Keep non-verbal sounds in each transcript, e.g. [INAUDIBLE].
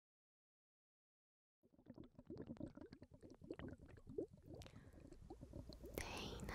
Dana A S M R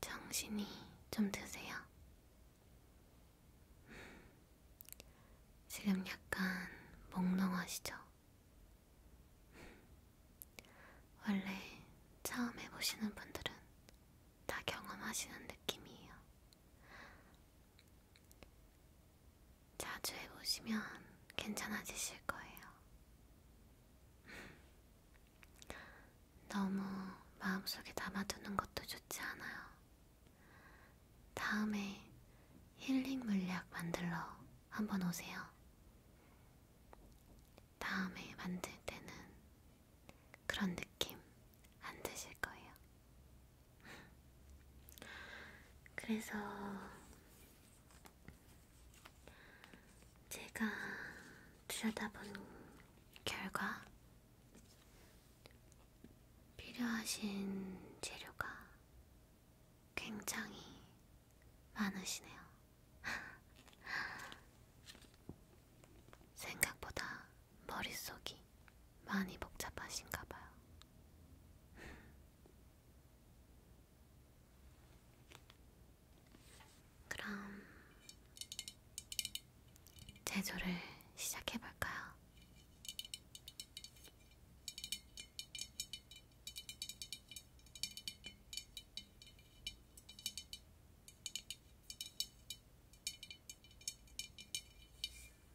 정신이 좀 드세요. 지금 약간 몽롱하시죠? 원래 처음 해보시는 분들은 다 경험하시는 느낌이에요. 자주 해보시면 괜찮아지실 거예요. [LAUGHS] 너무 마음속에 담아두는 것도 좋지 않아요. 다음에 힐링 물약 만들러 한번 오세요. 다음에 만들 때는 그런 느낌 안 드실 거예요. 그래서 제가 들여다본 결과 필요하신 재료가 굉장히 많으시네요. 생각보다 머릿속이 많이 복잡하신가 봐요. 그럼 제조를 시작해 볼까요?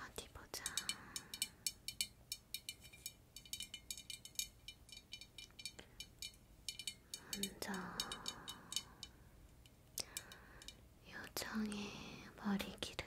어디 보자. 먼저 요정의 머리 기름이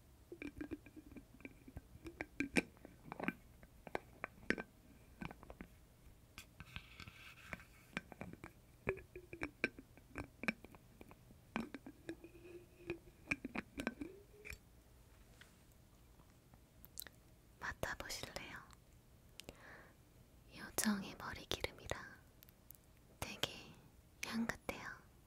맡아보실래요? 요정의 머리 기름이라 되게 향긋해요.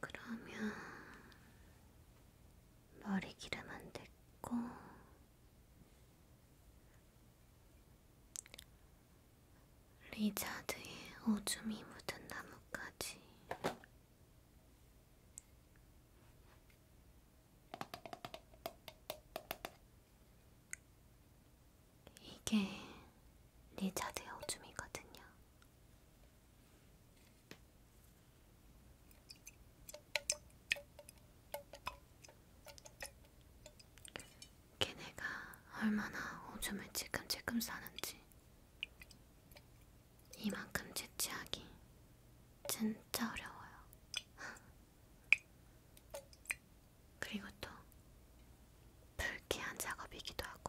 그러면 머리 기르면 됐고 리자드의 오줌이 묻은 나뭇가지 이게 네 자세의 오줌이거든요. 걔네가 얼마나 오줌을 찔끔찔끔 싸는지 이만큼 채취하기 진짜 어려워요. [LAUGHS] 그리고 또 불쾌한 작업이기도 하고요.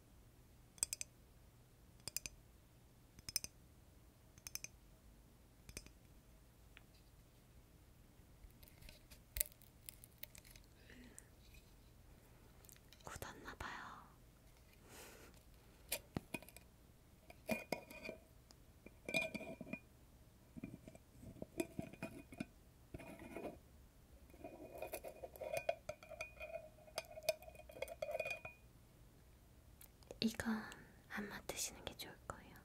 굳었나봐요. 이건 안 맡으시는 게 좋을 거예요.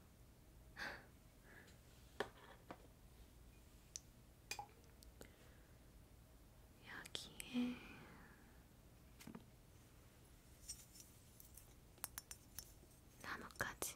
여기에 나뭇가지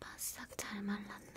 바싹 잘 말랐네.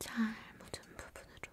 잘 묻은 부분으로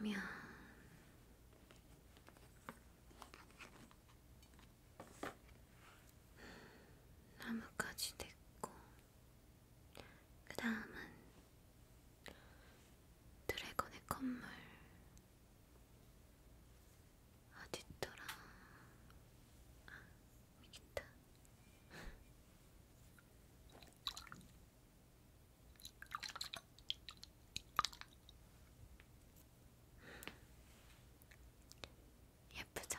이러면 나무까지 됐고, 그 다음은 드래곤의 콧물. 어딨더라? 아, 여기다. 예쁘죠?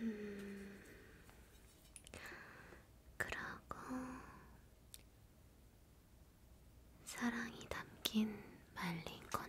음, 그러고 사랑이 담긴 말린 꽃잎.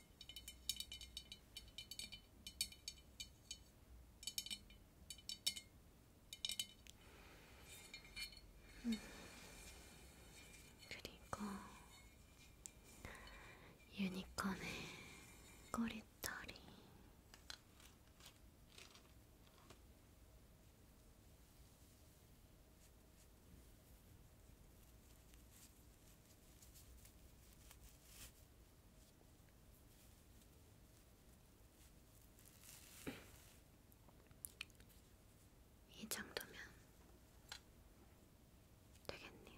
음, 그리고 유니콘의 꼬리털이 이 정도면 되겠네요.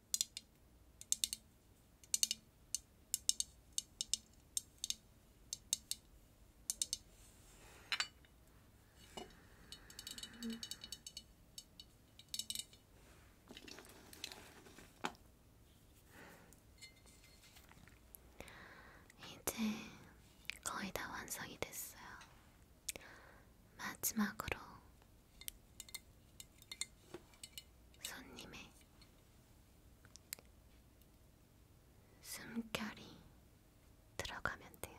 이제 거의 다 완성이 됐어요. 마지막으로 손님의 숨결이 들어가면 돼요.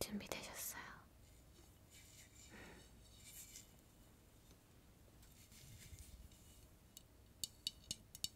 준비되셨어요?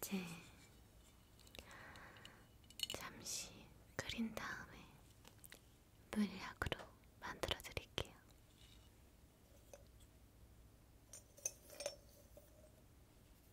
이제 잠시 끓인 다음에 물약으로 만들어 드릴게요.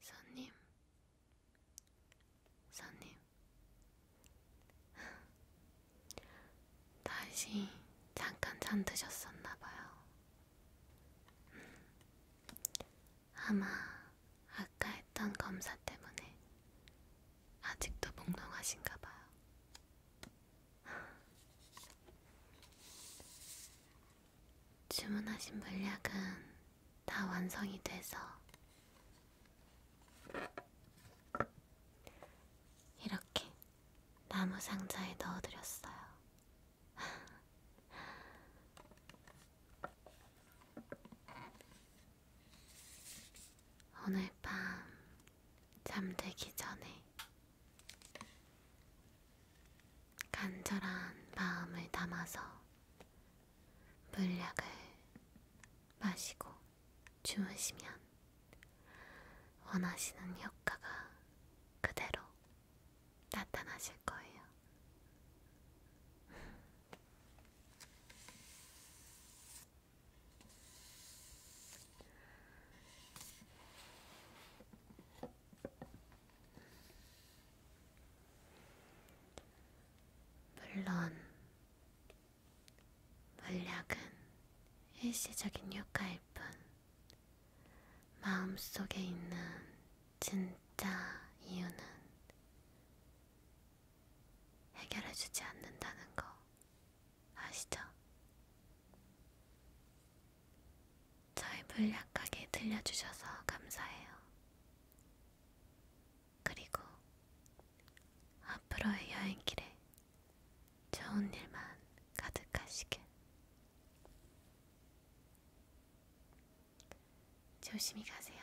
손님, 손님, 다시 잠깐 잠드셨었나봐요. 음, 아마 아까 했던 검사 때문에 아직도 몽롱하신가봐요. 주문하신 물약은 다 완성이 돼서 이렇게 나무 상자에 넣어드렸어요. 오늘 밤 잠들기 전에 간절한 마음을 담아서 물약을 마시고 주무시면 원하시는 효과가 그대로 나타나실 거예요. 물론 물약은 일시적인 효과일 뿐 마음속에 있는 진짜 이유는 해결해주지 않는다는 거 아시죠? 저의 물약하게 들려주셔서 감사해요. 그리고 앞으로의 여행길에 좋은 일만 가득하시길. 조심히 가세요.